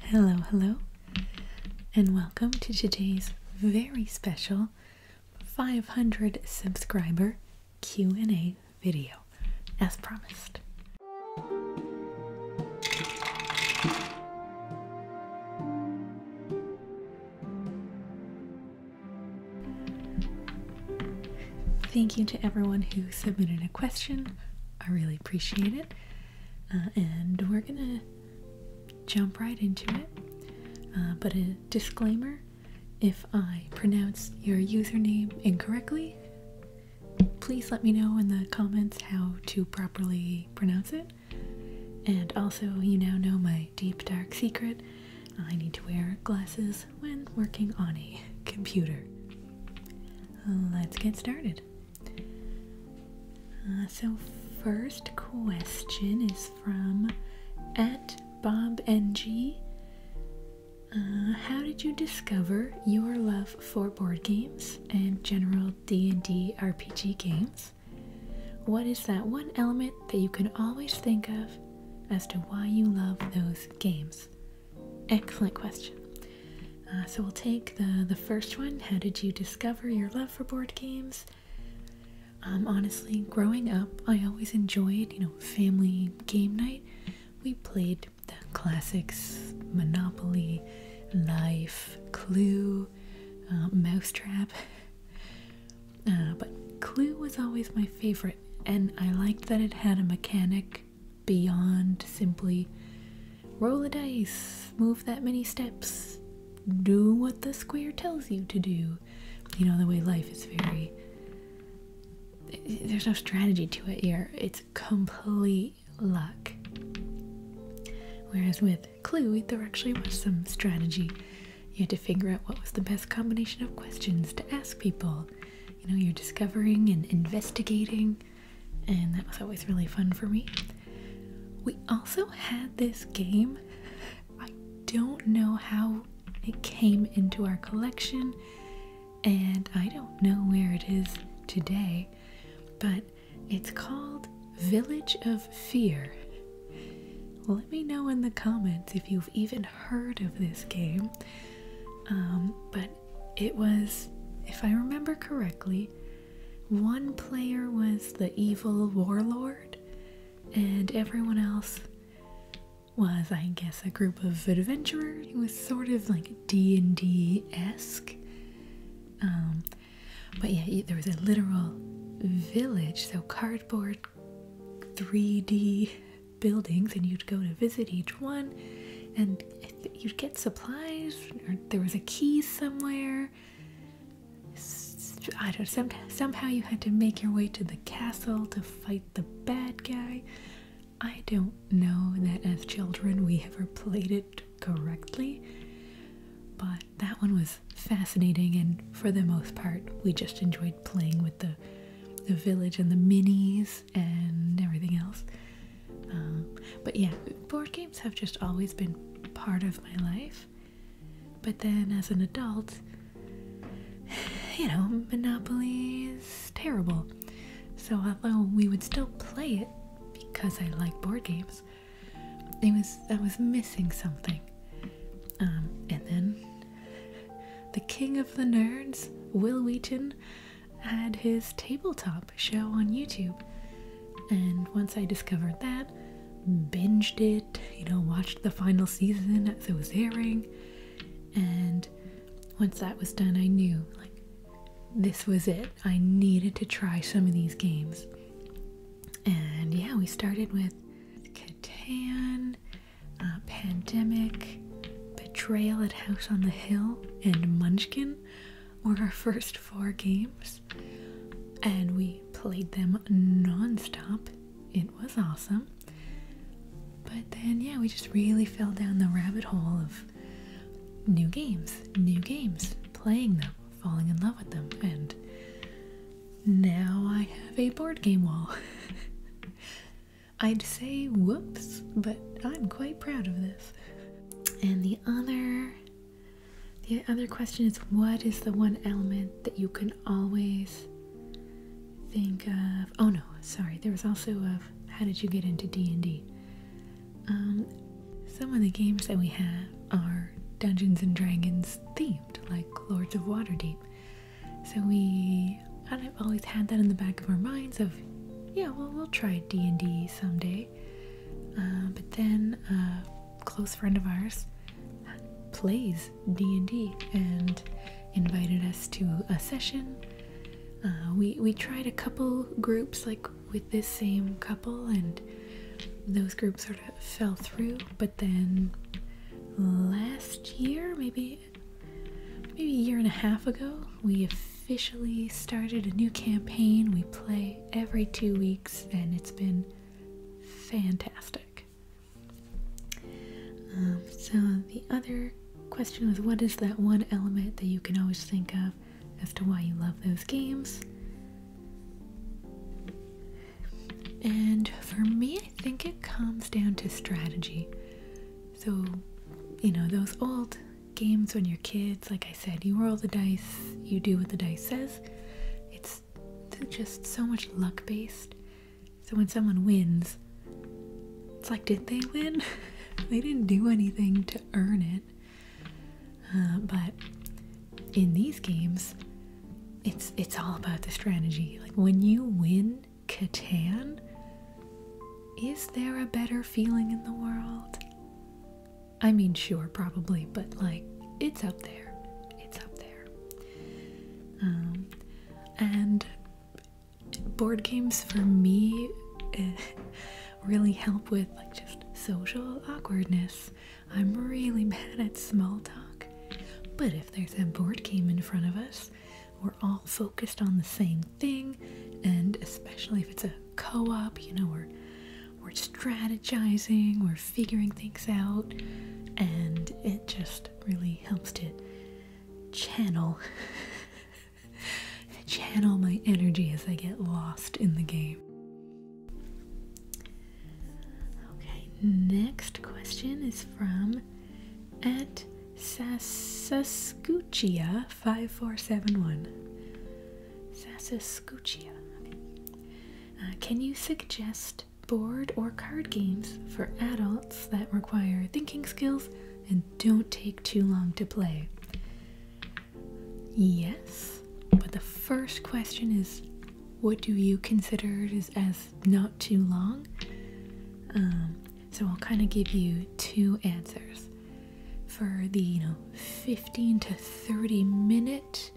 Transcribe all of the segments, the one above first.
Hello, hello, and welcome to today's very special 500 subscriber Q&A video, as promised. Thank you to everyone who submitted a question. I really appreciate it. Uh, and we're gonna jump right into it. Uh, but a disclaimer if I pronounce your username incorrectly, please let me know in the comments how to properly pronounce it. And also, you now know my deep dark secret I need to wear glasses when working on a computer. Let's get started. Uh, so first question is from at Bob NG. Uh, how did you discover your love for board games and general D&D RPG games? What is that one element that you can always think of as to why you love those games? Excellent question. Uh, so we'll take the the first one. How did you discover your love for board games? Um, honestly, growing up, I always enjoyed you know family game night. We played the classics: Monopoly, Life, Clue, uh, Mousetrap. Uh, but Clue was always my favorite, and I liked that it had a mechanic beyond simply roll a dice, move that many steps, do what the square tells you to do. You know, the way life is very. There's no strategy to it here, it's complete luck. Whereas with Clue, there actually was some strategy. You had to figure out what was the best combination of questions to ask people. You know, you're discovering and investigating and that was always really fun for me. We also had this game. I don't know how it came into our collection, and I don't know where it is today, but it's called Village of Fear. Let me know in the comments if you've even heard of this game. Um, but it was, if I remember correctly, one player was the evil warlord, and everyone else was, I guess, a group of adventurers. It was sort of like D and D esque. Um, but yeah, there was a literal village, so cardboard 3D buildings, and you'd go to visit each one, and you'd get supplies, there was a key somewhere. I don't. somehow you had to make your way to the castle to fight the bad guy. I don't know that as children we ever played it correctly, but that one was fascinating, and for the most part, we just enjoyed playing with the the village and the minis and everything else. Um, but yeah, board games have just always been part of my life. But then as an adult, you know, Monopoly is terrible. So although we would still play it because I like board games, it was I was missing something. Um, and then the king of the nerds, Will Wheaton, had his tabletop a show on YouTube. And once I discovered that, binged it, you know, watched the final season as it was airing. And once that was done, I knew like this was it. I needed to try some of these games. And yeah, we started with Catan, uh, Pandemic, Betrayal at House on the Hill, and Munchkin were our first four games, and we played them non stop. It was awesome. But then, yeah, we just really fell down the rabbit hole of new games, new games, playing them, falling in love with them, and now I have a board game wall. I'd say whoops, but I'm quite proud of this. And the other the other question is what is the one element that you can always think of? Oh no, sorry. There was also of how did you get into D&D? Um, some of the games that we have are Dungeons and Dragons themed, like Lords of Waterdeep. So we kind of always had that in the back of our minds of, yeah, well, we'll try D&D someday. Uh, but then a close friend of ours plays D&D and invited us to a session. Uh, we, we tried a couple groups like with this same couple and those groups sort of fell through but then last year maybe maybe a year and a half ago we officially started a new campaign. We play every two weeks, and it's been fantastic. Um, so, the other question was what is that one element that you can always think of as to why you love those games? And for me, I think it comes down to strategy. So, you know, those old games when you're kids, like I said, you roll the dice, you do what the dice says. It's just so much luck based. So when someone wins, it's like, did they win? they didn't do anything to earn it. Uh, but in these games, it's it's all about the strategy. Like when you win Catan, is there a better feeling in the world? I mean, sure, probably, but like it's up there. It's up there. Um, and board games for me eh, really help with like just social awkwardness. I'm really bad at small talk, but if there's a board game in front of us, we're all focused on the same thing, and especially if it's a co-op you know we're we're strategizing we're figuring things out and it just really helps to channel channel my energy as i get lost in the game okay next question is from at Sasascuccia 5471 Sassascuccia. Uh, can you suggest board or card games for adults that require thinking skills and don't take too long to play? Yes, but the first question is what do you consider as, not too long? Um, so I'll kind of give you two answers for the you know 15 to 30 minute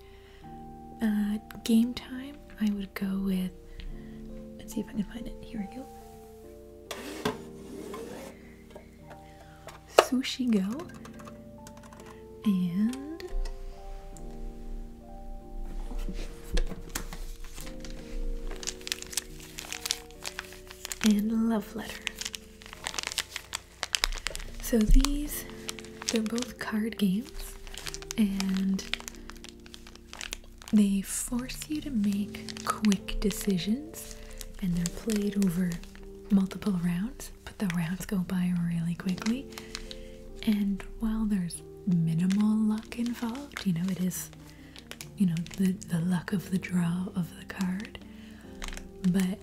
uh, game time, I would go with. Let's see if I can find it. Here we go. Sushi girl and and Love Letter. So these, they're both card games, and they force you to make quick decisions, and they're played over multiple rounds, but the rounds go by really quickly. And while there's minimal luck involved, you know, it is, you know, the, the luck of the draw of the card, but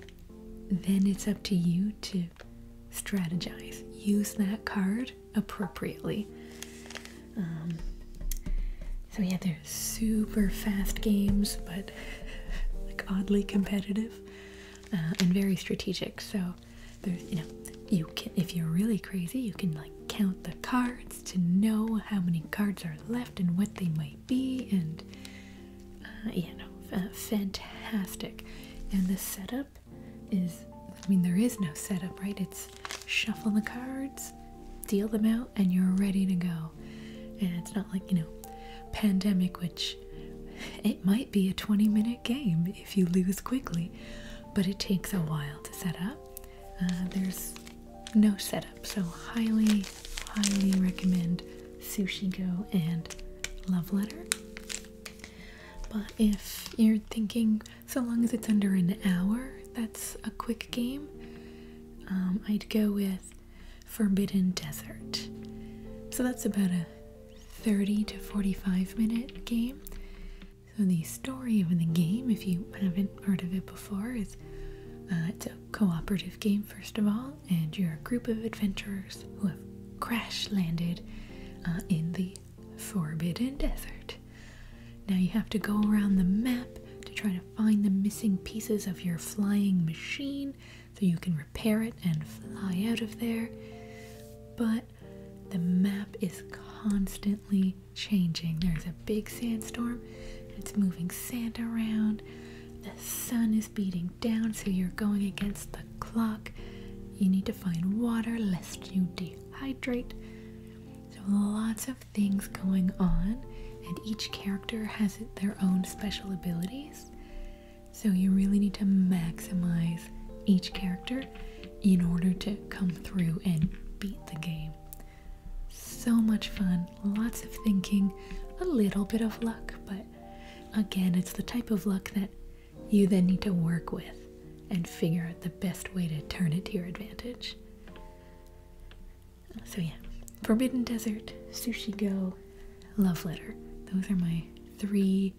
then it's up to you to strategize. Use that card appropriately. Um, so, yeah, they're super fast games, but like oddly competitive uh, and very strategic. So, there's, you know, you can, if you're really crazy, you can like count the cards to know how many cards are left and what they might be, and uh, you know, fantastic. And the setup is, I mean, there is no setup, right? It's shuffle the cards, deal them out, and you're ready to go. And it's not like, you know, pandemic, which it might be a 20 minute game if you lose quickly, but it takes a while to set up. Uh, there's no setup, so highly, highly recommend Sushi Go and Love Letter. But if you're thinking, so long as it's under an hour, that's a quick game, um, I'd go with Forbidden Desert. So that's about a 30 to 45 minute game. So the story of the game, if you haven't heard of it before, is uh, it's a cooperative game, first of all, and you're a group of adventurers who have crash landed uh, in the Forbidden Desert. Now you have to go around the map to try to find the missing pieces of your flying machine so you can repair it and fly out of there. But the map is constantly changing. There's a big sandstorm, it's moving sand around, the sun is beating down, so you're going against the clock. You need to find water lest you dehydrate. So, lots of things going on, and each character has their own special abilities. So, you really need to maximize each character in order to come through and beat the game. So much fun, lots of thinking, a little bit of luck, but Again, it's the type of luck that you then need to work with and figure out the best way to turn it to your advantage. So, yeah, Forbidden Desert, Sushi Go, Love Letter. Those are my three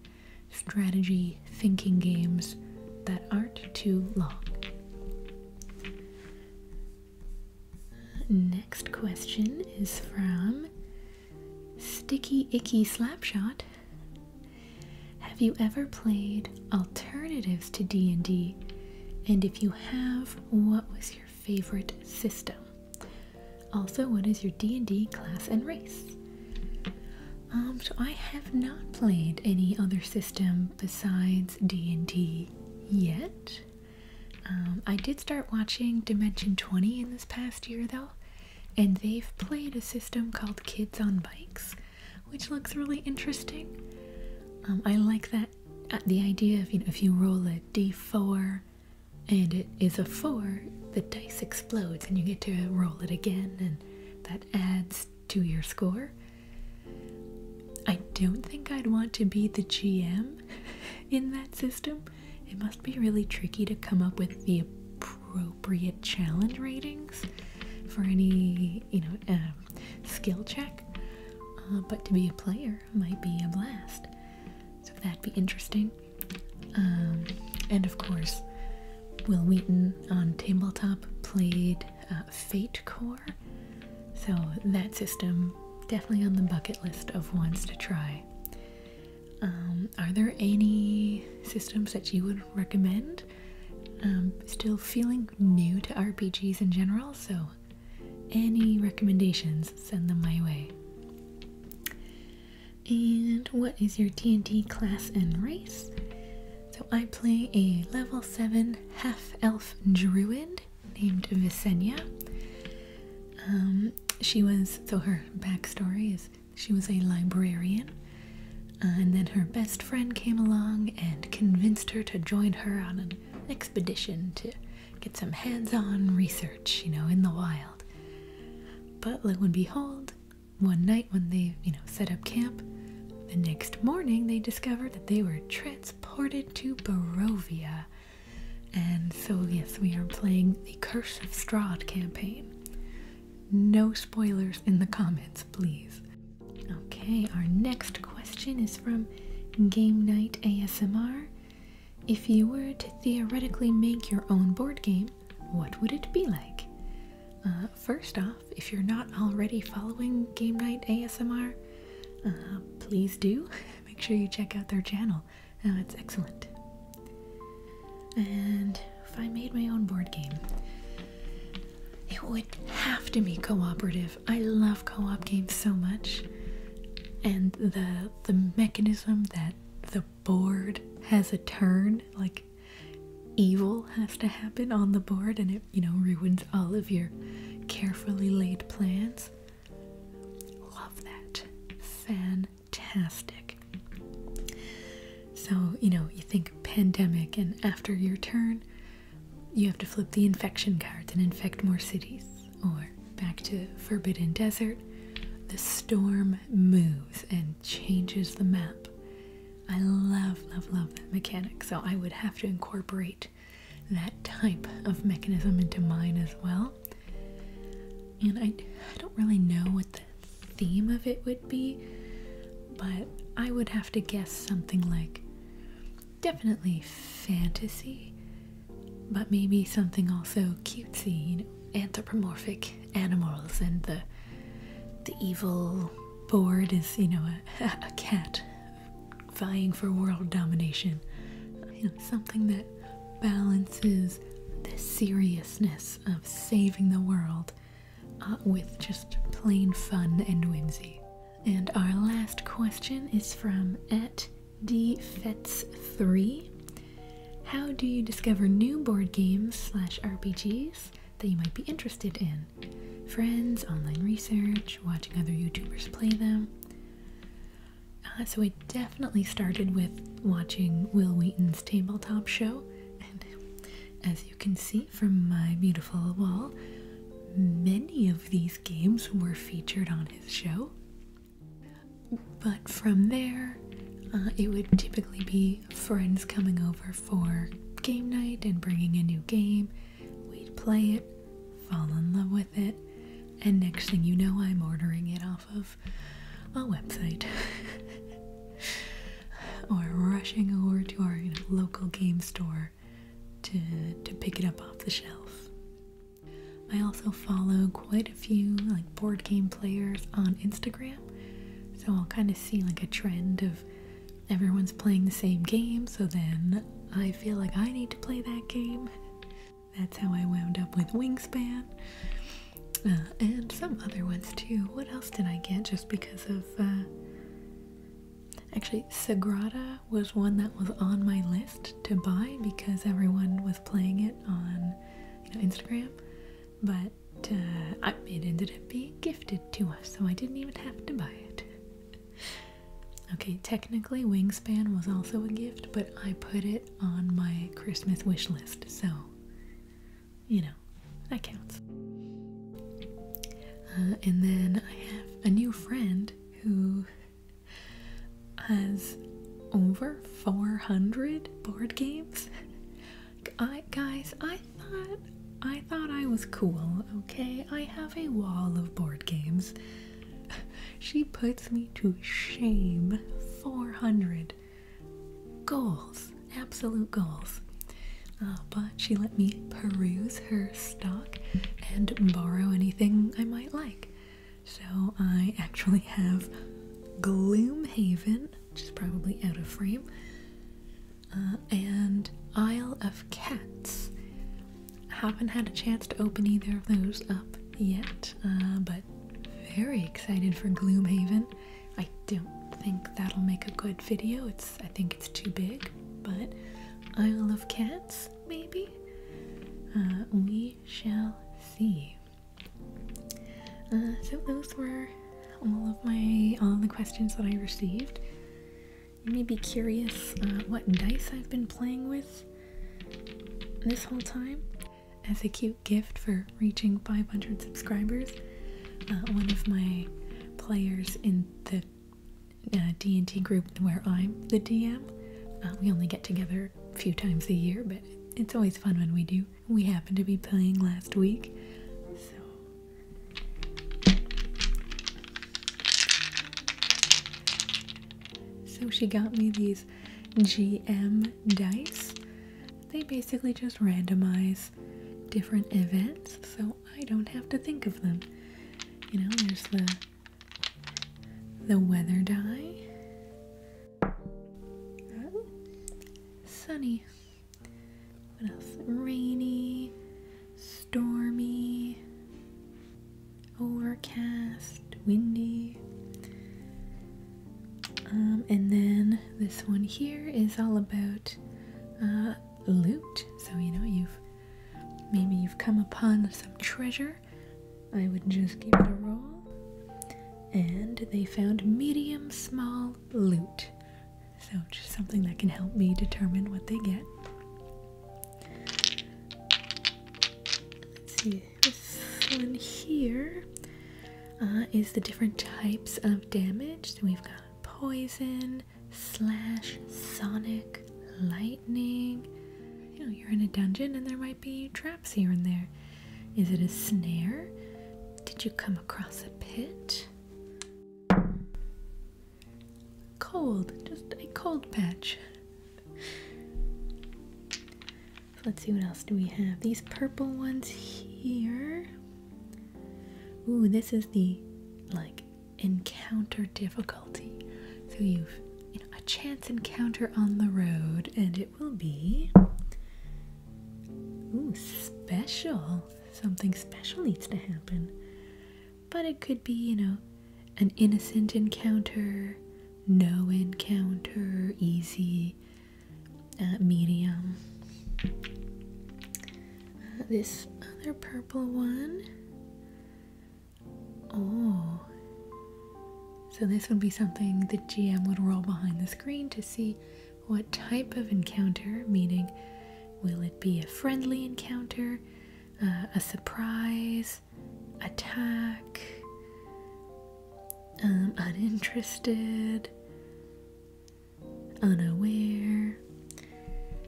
strategy thinking games that aren't too long. Next question is from Sticky Icky Slapshot. Have you ever played alternatives to D&D? And if you have, what was your favorite system? Also, what is your D&D class and race? Um, so I have not played any other system besides D&D yet. Um, I did start watching Dimension 20 in this past year though, and they've played a system called Kids on Bikes, which looks really interesting. Um, I like that uh, the idea of you know, if you roll a d4 and it is a 4, the dice explodes and you get to roll it again, and that adds to your score. I don't think I'd want to be the GM in that system, it must be really tricky to come up with the appropriate challenge ratings for any, you know, uh, skill check. Uh, but to be a player might be a blast. So that'd be interesting. Um, and of course, Will Wheaton on tabletop played uh, Fate Core. So that system definitely on the bucket list of ones to try. Um, are there any systems that you would recommend? Um, still feeling new to RPGs in general, so any recommendations, send them my way. And what is your and TNT class and race? So I play a level 7 half elf druid named Visenya. Um, she was, so her backstory is she was a librarian, uh, and then her best friend came along and convinced her to join her on an expedition to get some hands on research, you know, in the wild. But lo and behold, one night when they, you know, set up camp, the next morning they discovered that they were transported to Barovia and so, yes, we are playing the Curse of Strahd campaign. No spoilers in the comments, please. Okay, our next question is from Game Night ASMR. If you were to theoretically make your own board game, what would it be like? Uh, first off, if you're not already following Game Night ASMR, uh, please do. Make sure you check out their channel. Oh, it's excellent. And if I made my own board game, it would have to be cooperative. I love co-op games so much. And the the mechanism that the board has a turn, like evil has to happen on the board and it, you know, ruins all of your carefully laid plans. Love that. Fan fantastic. So, you know, you think pandemic, and after your turn, you have to flip the infection cards and infect more cities. Or back to Forbidden Desert, the storm moves and changes the map. I love, love, love that mechanic, so I would have to incorporate that type of mechanism into mine as well. And I, I don't really know what the theme of it would be, but I would have to guess something like definitely fantasy, but maybe something also cutesy, you anthropomorphic animals and the the evil board is, you know, a, cat vying for world domination. something that balances the seriousness of saving the world uh, with just plain fun and whimsy. And our last question is from at dfets3. How do you discover new board games slash RPGs that you might be interested in? Friends, online research, watching other YouTubers play them? Uh, so I definitely started with watching Will Wheaton's tabletop show, and as you can see from my beautiful wall, many of these games were featured on his show. But from there, uh, it would typically be friends coming over for game night and bringing a new game. We'd play it, fall in love with it, and next thing you know, I'm ordering it all of a website or rushing over to our local game store to, to pick it up off the shelf. I also follow quite a few like board game players on Instagram, so I'll kind of see like a trend of everyone's playing the same game, so then I feel like I need to play that game. That's how I wound up with Wingspan. Uh, and some other ones too. What else did I get just because of. Uh, actually, Sagrada was one that was on my list to buy because everyone was playing it on Instagram. But uh, I, it ended up being gifted to us, so I didn't even have to buy it. okay, technically, Wingspan was also a gift, but I put it on my Christmas wish list, so you know, that counts. Uh, and then I have a new friend who has over 400 board games. I guys, I thought I thought I was cool, okay? I have a wall of board games. she puts me to shame. 400 Goals, absolute goals. Uh, but she let me peruse her stock and borrow anything I might like. So I actually have Gloomhaven, which is probably out of frame, uh, and Isle of Cats. I haven't had a chance to open either of those up yet, uh, but very excited for Gloomhaven. I don't think that'll make a good video. It's I think it's too big, but Isle of Cats, maybe? Uh, we shall see. Uh, so those were all of my all the questions that I received. You may be curious what dice I've been playing with this whole time. As a gift for reaching 500 subscribers. Uh, one of my players in the uh, D&T group where I'm the DM, uh, we only get together a few times a year, but it's always fun when we do. We happened to be playing last week, So she got me these GM dice. They basically just randomize different events so I don't have to think of them. You know, there's the the weather die. Oh, sunny. What else? Rainy, stormy, overcast windy. Um, and then this one here is all about uh, loot. So you know you've maybe you've come upon some treasure. I would just give it a roll, and they found medium small loot. So just something that can help me determine what they get. Let's see this one here uh, is the different types of damage. we've got poison, slash, sonic, lightning. You know, you're in a dungeon and there might be traps here and there. Is it a snare? Did you come across a pit? Cold, just a cold patch let's see what else do we have. These purple ones here. Ooh, this is the like encounter difficulty. So you've a chance encounter on the road, and it will be ooh special. Something special needs to happen, but it could be you know an innocent encounter, no encounter, easy, uh, medium. this other purple one. Oh. So, this would be something the GM would roll behind the screen to see what type of encounter, meaning, will it be a friendly encounter, uh, a surprise, attack, um, uninterested, unaware.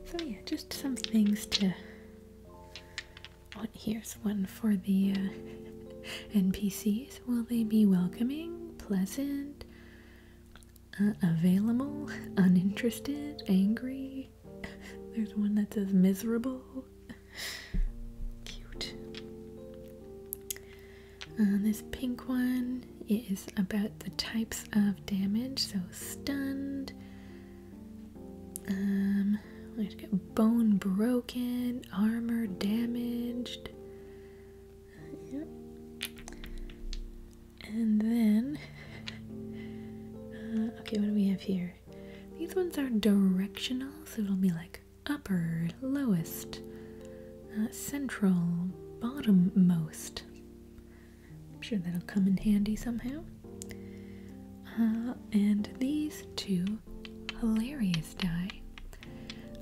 So, yeah, just some things to. Oh, here's one for the uh, NPCs. Will they be welcoming, pleasant, uh, available, uninterested, angry? There's one that says miserable. Cute. Uh, this pink one is about the types of damage, so stunned. Um, we got bone broken, armor damaged. Yep. And then, uh, okay, what do we have here? These ones are directional, so it'll be like upper, lowest, uh, central, bottommost. I'm sure that'll come in handy somehow. Uh, and these two hilarious die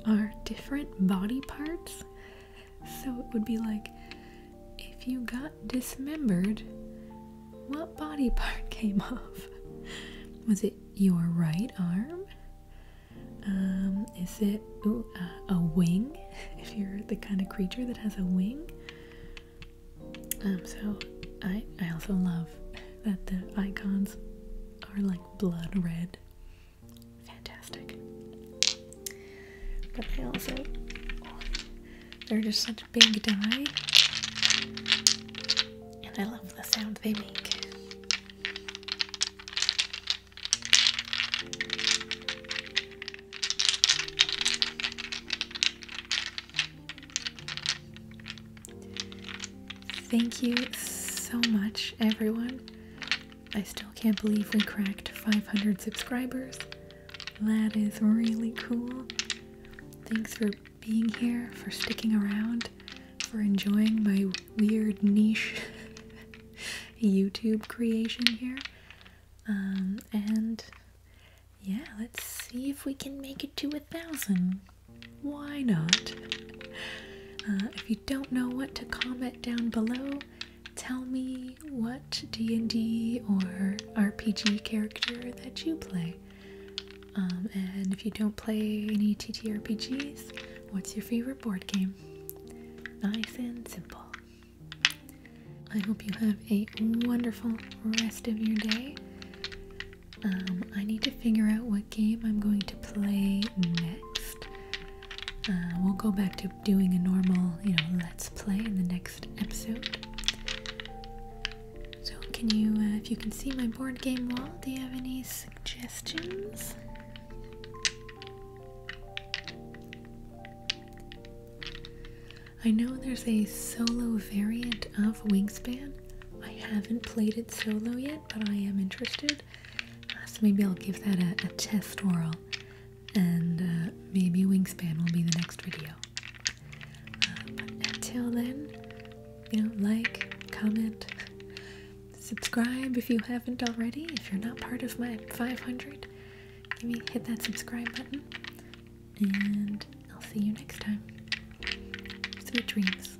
are different body parts. So it would be like if you got dismembered, what body part came off? Was it your right arm? Um, is it uh, a wing? if you're the kind of creature that has a wing. Um, so I I also love that the icons are like blood red. Fantastic. But they also they're just such big die. And I love the sound they make. Thank you so much, everyone. I still can't believe we cracked 500 subscribers. That is really cool. Thanks for being here, for sticking around, for enjoying my weird niche YouTube creation here. Um, and yeah, let's see if we can make it to a thousand. Why not? Uh, if you don't know what to comment down below, tell me what D&D or RPG character that you play. Um, and if you don't play any TTRPGs, What's your favorite board game? Nice and simple. I hope you have a wonderful rest of your day. Um, I need to figure out what game I'm going to play next. Uh, we'll go back to doing a normal, you know, let's play in the next episode. So, can you, uh, if you can see my board game wall, do you have any suggestions? I know there's a solo variant of Wingspan. I haven't played it solo yet, but I am interested. Uh, so maybe I'll give that a, test whirl, and uh, maybe Wingspan will be the next video. Uh, until then, you know, like, comment, subscribe if you haven't already. If you're not part of my 500, hit that subscribe button, and I'll see you next time. Sweet dreams.